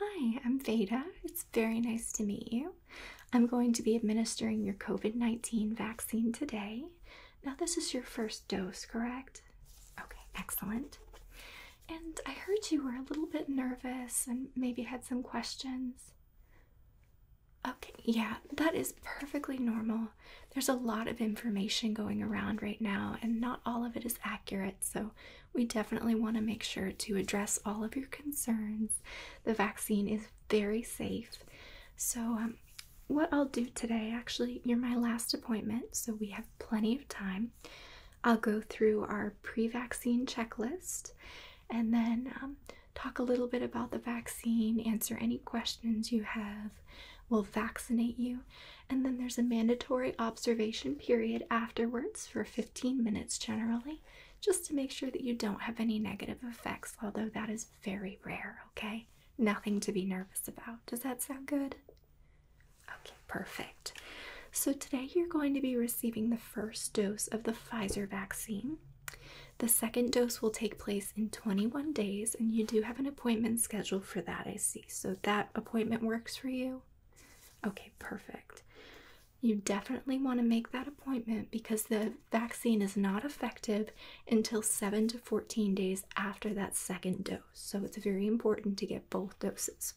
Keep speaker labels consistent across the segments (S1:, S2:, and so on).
S1: Hi, I'm Veda. It's very nice to meet you. I'm going to be administering your COVID 19 vaccine today. Now, this is your first dose, correct? Okay, excellent. And I heard you were a little bit nervous and maybe had some questions. Okay, yeah, that is perfectly normal. There's a lot of information going around right now, and not all of it is accurate, so we definitely want to make sure to address all of your concerns. The vaccine is very safe. So, um, what I'll do today, actually, you're my last appointment, so we have plenty of time. I'll go through our pre vaccine checklist and then um, talk a little bit about the vaccine, answer any questions you have, we'll vaccinate you, and then there's a mandatory observation period afterwards for 15 minutes generally, just to make sure that you don't have any negative effects, although that is very rare, okay? Nothing to be nervous about. Does that sound good? Okay, perfect. So today you're going to be receiving the first dose of the Pfizer vaccine. The second dose will take place in 21 days, and you do have an appointment scheduled for that, I see. So that appointment works for you? Okay, perfect. You definitely want to make that appointment because the vaccine is not effective until 7 to 14 days after that second dose. So it's very important to get both doses.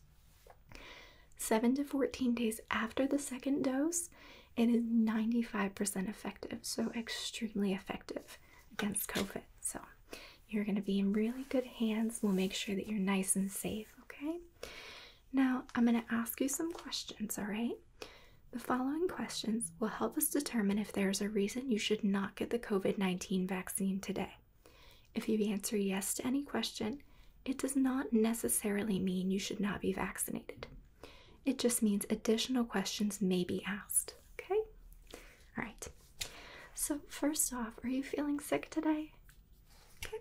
S1: 7 to 14 days after the second dose, it is 95% effective, so extremely effective against COVID. So you're going to be in really good hands. We'll make sure that you're nice and safe, okay? Now, I'm going to ask you some questions, all right? The following questions will help us determine if there's a reason you should not get the COVID 19 vaccine today. If you answer yes to any question, it does not necessarily mean you should not be vaccinated. It just means additional questions may be asked. Okay? All right. So, first off, are you feeling sick today? Okay.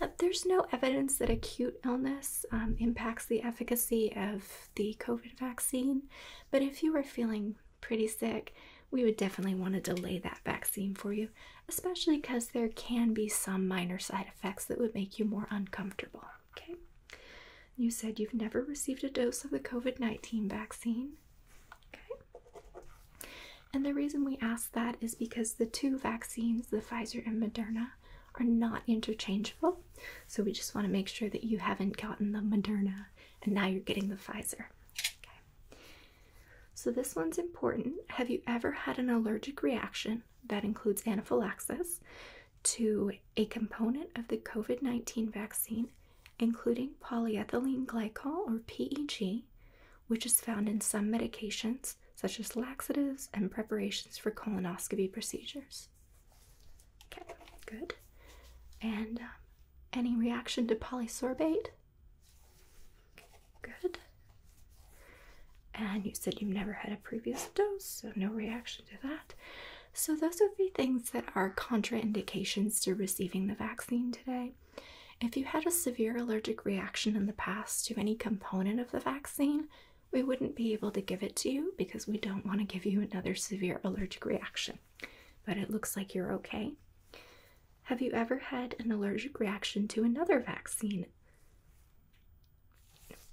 S1: Yeah, there's no evidence that acute illness um, impacts the efficacy of the COVID vaccine, but if you are feeling pretty sick, we would definitely want to delay that vaccine for you, especially because there can be some minor side effects that would make you more uncomfortable. Okay. You said you've never received a dose of the COVID 19 vaccine. Okay. And the reason we ask that is because the two vaccines, the Pfizer and Moderna, are not interchangeable. So we just want to make sure that you haven't gotten the Moderna and now you're getting the Pfizer. Okay. So, this one's important. Have you ever had an allergic reaction that includes anaphylaxis to a component of the COVID 19 vaccine, including polyethylene glycol or PEG, which is found in some medications such as laxatives and preparations for colonoscopy procedures? Okay, good. And um, any reaction to polysorbate? Good. And you said you've never had a previous dose, so no reaction to that. So, those would be things that are contraindications to receiving the vaccine today. If you had a severe allergic reaction in the past to any component of the vaccine, we wouldn't be able to give it to you because we don't want to give you another severe allergic reaction. But it looks like you're okay. Have you ever had an allergic reaction to another vaccine?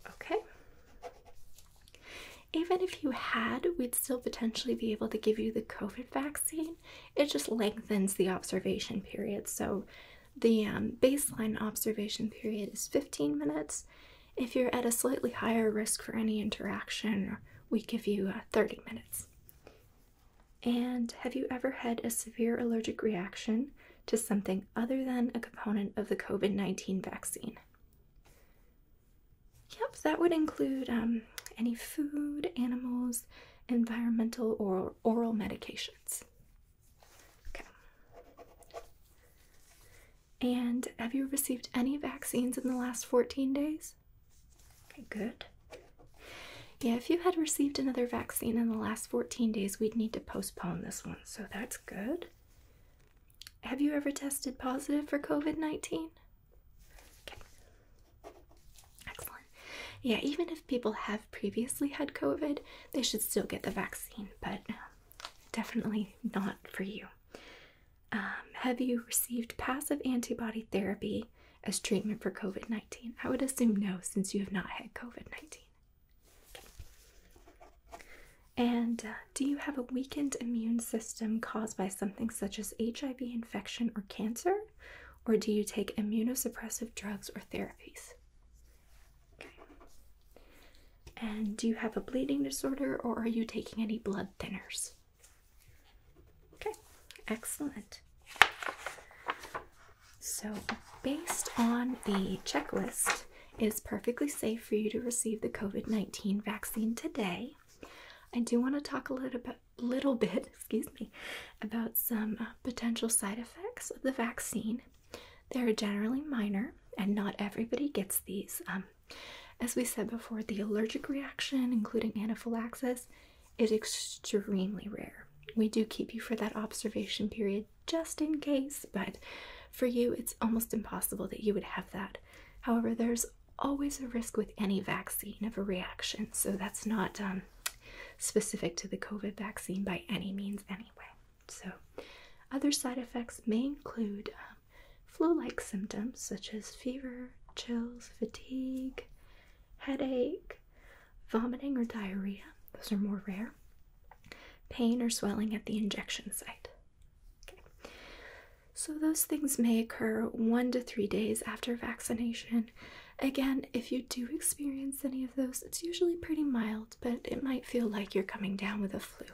S1: Okay. Even if you had, we'd still potentially be able to give you the COVID vaccine. It just lengthens the observation period. So the um, baseline observation period is 15 minutes. If you're at a slightly higher risk for any interaction, we give you uh, 30 minutes. And have you ever had a severe allergic reaction to something other than a component of the COVID 19 vaccine? Yep, that would include um, any food, animals, environmental, or oral medications. Okay. And have you received any vaccines in the last 14 days? Okay, good. Yeah, if you had received another vaccine in the last 14 days, we'd need to postpone this one, so that's good. Have you ever tested positive for COVID 19? Okay. Excellent. Yeah, even if people have previously had COVID, they should still get the vaccine, but um, definitely not for you. Um, have you received passive antibody therapy as treatment for COVID 19? I would assume no, since you have not had COVID 19. And uh, do you have a weakened immune system caused by something such as HIV infection or cancer? Or do you take immunosuppressive drugs or therapies? And do you have a bleeding disorder or are you taking any blood thinners? Okay, excellent. So, based on the checklist, it is perfectly safe for you to receive the COVID 19 vaccine today. I do want to talk a little bit, excuse me, about some uh, potential side effects of the vaccine. They are generally minor, and not everybody gets these. Um, as we said before, the allergic reaction, including anaphylaxis, is extremely rare. We do keep you for that observation period just in case, but for you, it's almost impossible that you would have that. However, there's always a risk with any vaccine of a reaction, so that's not um, specific to the COVID vaccine by any means, anyway. So, other side effects may include um, flu like symptoms such as fever, chills, fatigue, headache, vomiting or diarrhea, those are more rare, pain or swelling at the injection site. So, those things may occur one to three days after vaccination. Again, if you do experience any of those, it's usually pretty mild, but it might feel like you're coming down with a flu.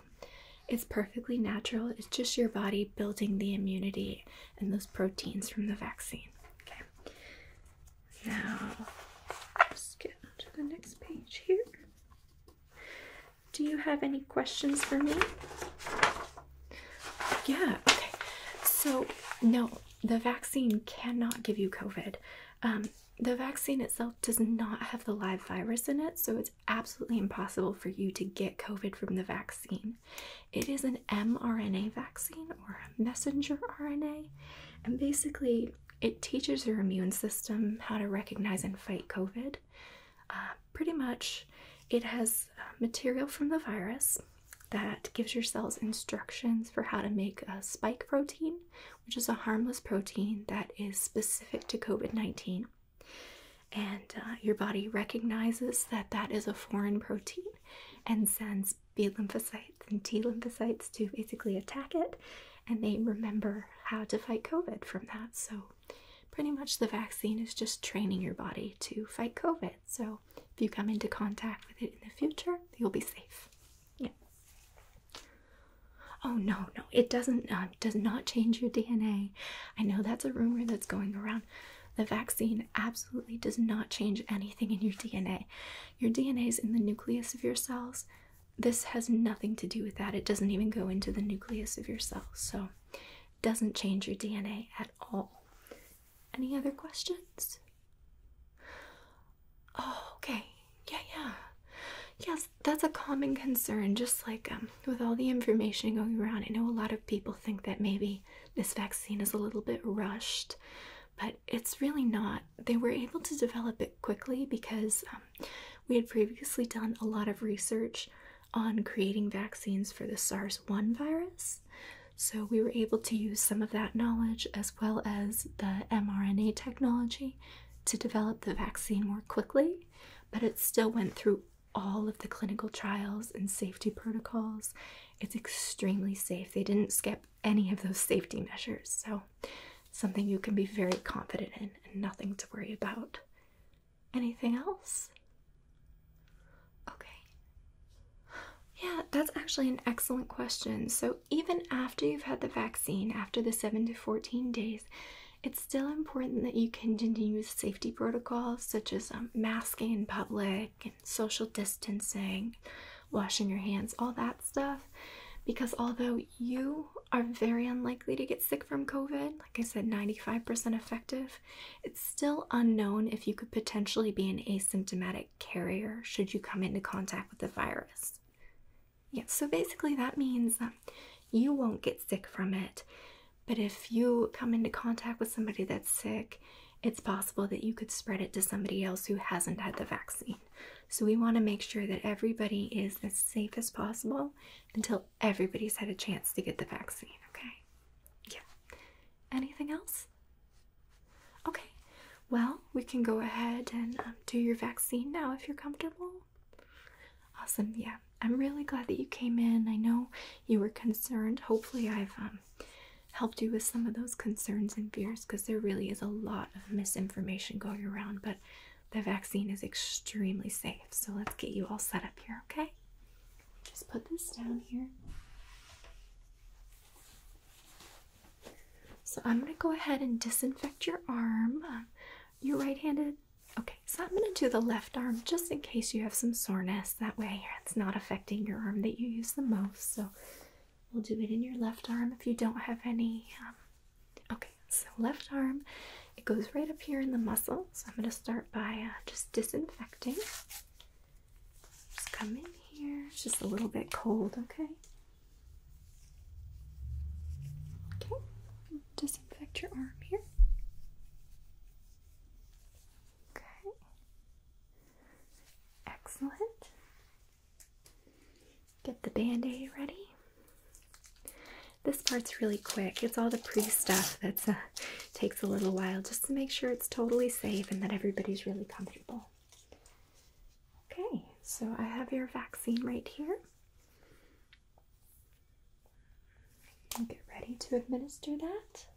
S1: It's perfectly natural, it's just your body building the immunity and those proteins from the vaccine. Okay. Now, let's get onto the next page here. Do you have any questions for me? Yeah, okay. So, no, the vaccine cannot give you COVID. Um, the vaccine itself does not have the live virus in it, so it's absolutely impossible for you to get COVID from the vaccine. It is an mRNA vaccine or messenger RNA, and basically, it teaches your immune system how to recognize and fight COVID. Uh, pretty much, it has uh, material from the virus that gives your cells instructions for how to make a spike protein, which is a harmless protein that is specific to COVID 19. And uh, your body recognizes that that is a foreign protein and sends B lymphocytes and T lymphocytes to basically attack it, and they remember how to fight COVID from that. So, pretty much the vaccine is just training your body to fight COVID. So, if you come into contact with it in the future, you'll be safe. Yeah. Oh no, no, it doesn't um, does not change your DNA. I know that's a rumor that's going around. The vaccine absolutely does not change anything in your DNA. Your DNA is in the nucleus of your cells. This has nothing to do with that. It doesn't even go into the nucleus of your cells. So it doesn't change your DNA at all. Any other questions? Oh, okay. Yeah, yeah. Yes, that's a common concern. Just like um, with all the information going around, I know a lot of people think that maybe this vaccine is a little bit rushed, but it's really not. They were able to develop it quickly because um, we had previously done a lot of research on creating vaccines for the SARS 1 virus. So we were able to use some of that knowledge as well as the mRNA technology to develop the vaccine more quickly, but it still went through all of the clinical trials and safety protocols it's extremely safe. They didn't skip any of those safety measures, so something you can be very confident in and nothing to worry about. Anything else? Okay. Yeah, that's actually an excellent question. So, even after you've had the vaccine, after the 7 to 14 days, it's still important that you continue with safety protocols such as um, masking in public social distancing, washing your hands, all that stuff. Because although you are very unlikely to get sick from COVID, like I said, 95% effective, it's still unknown if you could potentially be an asymptomatic carrier should you come into contact with the virus. Yeah, so basically that means that you won't get sick from it. But if you come into contact with somebody that's sick, it's possible that you could spread it to somebody else who hasn't had the vaccine. So we want to make sure that everybody is as safe as possible until everybody's had a chance to get the vaccine, okay? Yeah. Anything else? Okay. Well, we can go ahead and um, do your vaccine now if you're comfortable. Awesome. Yeah. I'm really glad that you came in. I know you were concerned. Hopefully I've um, helped you with some of those concerns and fears because there really is a lot of misinformation going around, but the vaccine is extremely safe. So let's get you all set up here, okay? Just put this down here. So I'm going to go ahead and disinfect your arm. Um, you're right handed. Okay, so I'm going to do the left arm just in case you have some soreness that way. It's not affecting your arm that you use the most. So we'll do it in your left arm if you don't have any. Um, okay, so left arm, it goes right up here in the muscle. So I'm going to start by uh, just disinfecting. Just come in here. It's just a little bit cold, okay? Okay, disinfect your arm here. Okay. Excellent. Get the band aid ready. This part's really quick. It's all the pre stuff that uh, takes a little while just to make sure it's totally safe and that everybody's really comfortable. Okay, so I have your vaccine right here. Get ready to administer that.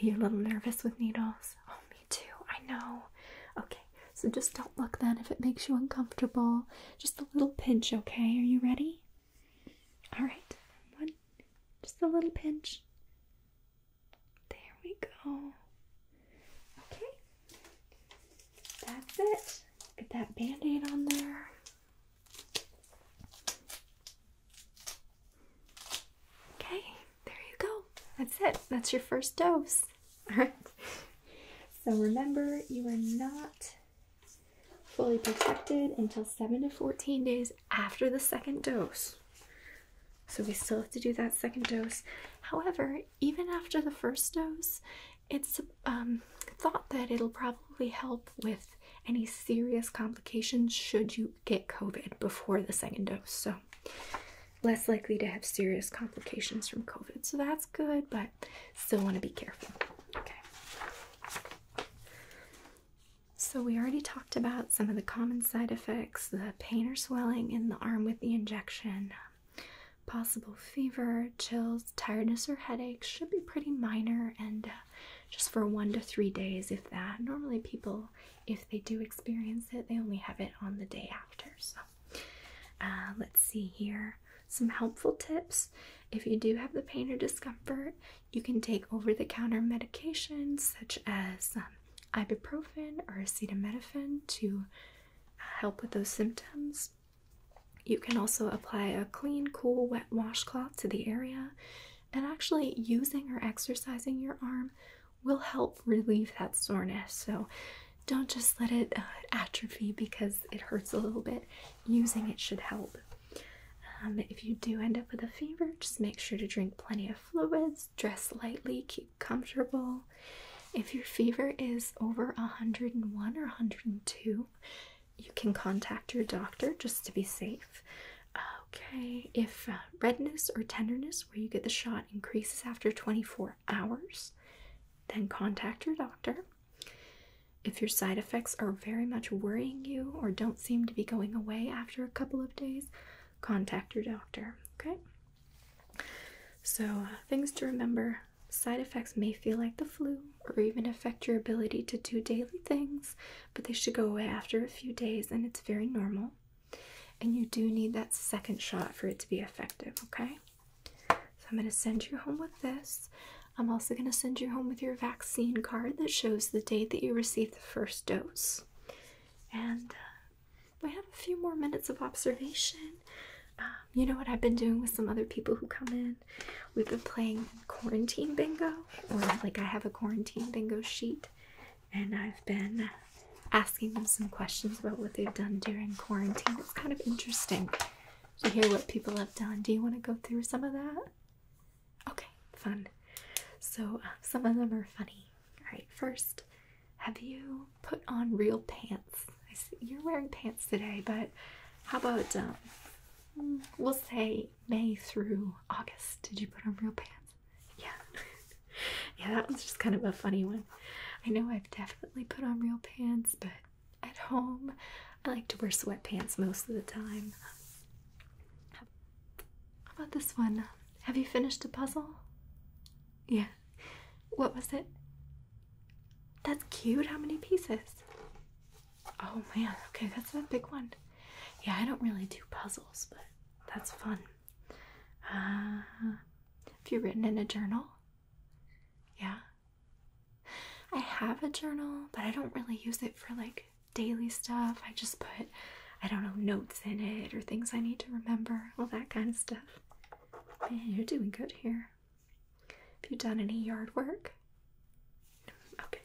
S1: Are you a little nervous with needles? Oh, me too. I know. Okay, so just don't look then if it makes you uncomfortable. Just a little pinch, okay? Are you ready? All right, one, just a little pinch. There we go. Okay, that's it. Get that band aid on there. Okay, there you go. That's it. That's your first dose. All right. So remember, you are not fully protected until 7 to 14 days after the second dose. So we still have to do that second dose. However, even after the first dose, it's um, thought that it'll probably help with any serious complications should you get COVID before the second dose. So, less likely to have serious complications from COVID. So, that's good, but still want to be careful. Okay. So, we already talked about some of the common side effects the pain or swelling in the arm with the injection. Possible fever, chills, tiredness, or headaches should be pretty minor, and uh, just for one to three days, if that. Normally, people, if they do experience it, they only have it on the day after. So, uh, let's see here some helpful tips. If you do have the pain or discomfort, you can take over the counter medications such as um, ibuprofen or acetaminophen to uh, help with those symptoms. You can also apply a clean, cool, wet washcloth to the area and actually, using or exercising your arm will help relieve that soreness. So don't just let it uh, atrophy because it hurts a little bit. Using it should help. Um, if you do end up with a fever, just make sure to drink plenty of fluids, dress lightly, keep comfortable. If your fever is over 101 or 102, you can contact your doctor just to be safe. Okay, if uh, redness or tenderness where you get the shot increases after 24 hours, then contact your doctor. If your side effects are very much worrying you or don't seem to be going away after a couple of days, contact your doctor. Okay? So, uh, things to remember side effects may feel like the flu or even affect your ability to do daily things but they should go away after a few days, and it's very normal. And you do need that second shot for it to be effective, okay? So I'm going to send you home with this. I'm also going to send you home with your vaccine card that shows the date that you received the first dose. And we uh, have a few more minutes of observation. Um, you know what I've been doing with some other people who come in? We've been playing quarantine bingo. Well, like I have a quarantine bingo sheet, and I've been asking them some questions about what they've done during quarantine. It's kind of interesting to hear what people have done. Do you want to go through some of that? Okay, fun. So, uh, some of them are funny. All right, first, have you put on real pants? I see you're wearing pants today, but how about um, hmm, we'll see. May through August. Did you put on real pants? Yeah. yeah, that was just kind of a funny one. I know I've definitely put on real pants, but at home I like to wear sweatpants most of the time. How about this one? Have you finished the puzzle? Yeah. What was it? That's cute. How many pieces? Oh man, okay, that's a big one. Yeah, I don't really do puzzles, but that's fun. Uh, have you written in a journal? Yeah. I have a journal, but I don't really use it for like daily stuff. I just put, I don't know, notes in it or things I need to remember, all that kind of stuff. Man, you're doing good here. Have you done any yard work? okay.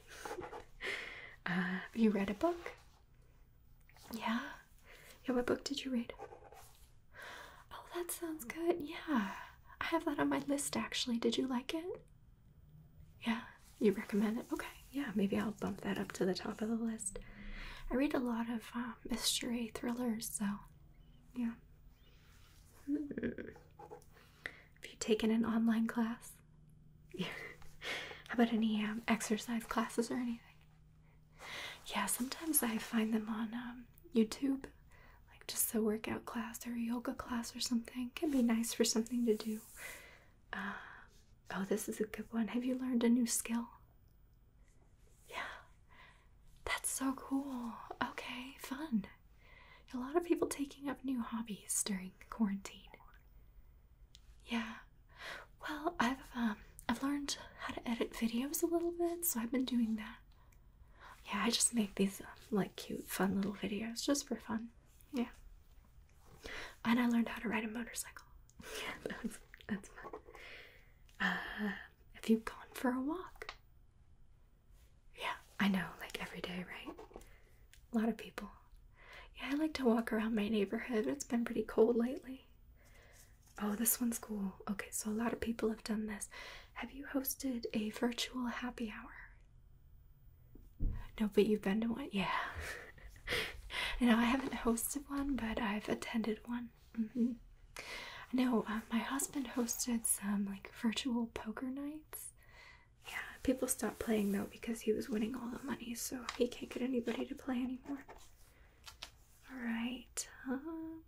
S1: Uh, have you read a book? Yeah. Yeah, what book did you read? Oh, that sounds good. Yeah. I have that on my list actually. Did you like it? Yeah, you recommend it? Okay. Yeah, maybe I'll bump that up to the top of the list. I read a lot of um, mystery thrillers, so yeah. Hmm. Have you taken an online class? How about any um, exercise classes or anything? Yeah, sometimes I find them on um, YouTube, like just a workout class or a yoga class or something. Can be nice for something to do. Uh, oh, this is a good one. Have you learned a new skill? Yeah, that's so cool. Okay, fun. A lot of people taking up new hobbies during quarantine. Yeah. Well, I've um I've learned how to edit videos a little bit, so I've been doing that. Yeah, I just make these um, like cute, fun little videos just for fun. Yeah. And I learned how to ride a motorcycle. Yeah, that's Uh, have you gone for a walk? Yeah, I know, like every day, right? A lot of people. Yeah, I like to walk around my neighborhood. It's been pretty cold lately. Oh, this one's cool. Okay, so a lot of people have done this. Have you hosted a virtual happy hour? No, but you've been to one. Yeah. No, I haven't hosted one, but I've attended one. Mm-hmm. No, uh, my husband hosted some like virtual poker nights yeah, people stopped playing though because he was winning all the money, so he can't get anybody to play anymore. Alright. Um,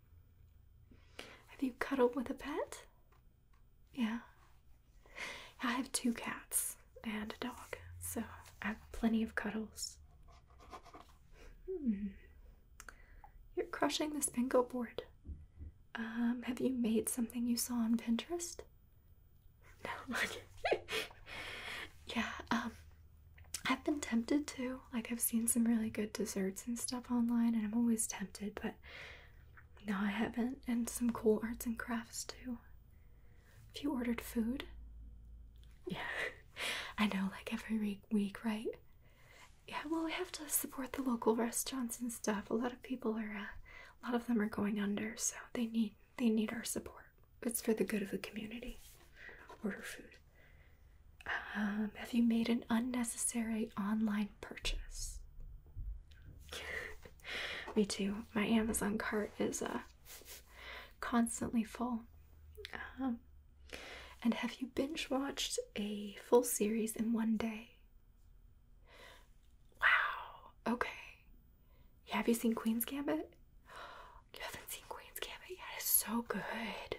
S1: have you cuddled with a pet? Yeah. I have two cats and a dog, so I have plenty of cuddles. Hmm. You're crushing the bingo board. Um, have you made something you saw on Pinterest? No. yeah. Um, I've been tempted to. Like, I've seen some really good desserts and stuff online, and I'm always tempted, but no, I haven't. And some cool arts and crafts too. Have you ordered food, yeah. I know, like every week, right? Yeah, well, we have to support the local restaurants and stuff. A lot of people are, uh, a lot of them are going under, so they need they need our support. It's for the good of the community. Order food. Um, have you made an unnecessary online purchase? Me too. My Amazon cart is uh, constantly full. Um, and have you binge watched a full series in one day? Wow. Okay. Have you seen Queen's Gambit? You haven't seen Queen's Gambit yet. It's so good.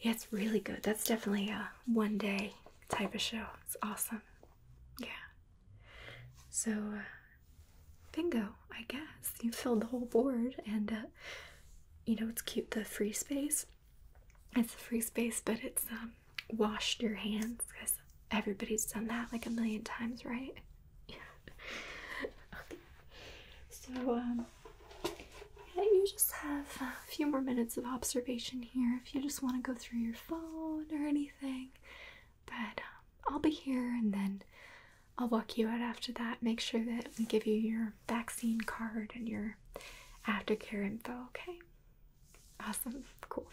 S1: Yeah, it's really good. That's definitely a one day type of show. It's awesome. Yeah. So, uh, bingo, I guess. You filled the whole board, and uh, you know, it's cute the free space. It's a free space, but it's um, washed your hands because everybody's done that like a million times, right? Yeah. So, um, you just have a few more minutes of observation here if you just want to go through your phone or anything. But um, I'll be here and then I'll walk you out after that. Make sure that we give you your vaccine card and your aftercare info, okay? Awesome. Cool.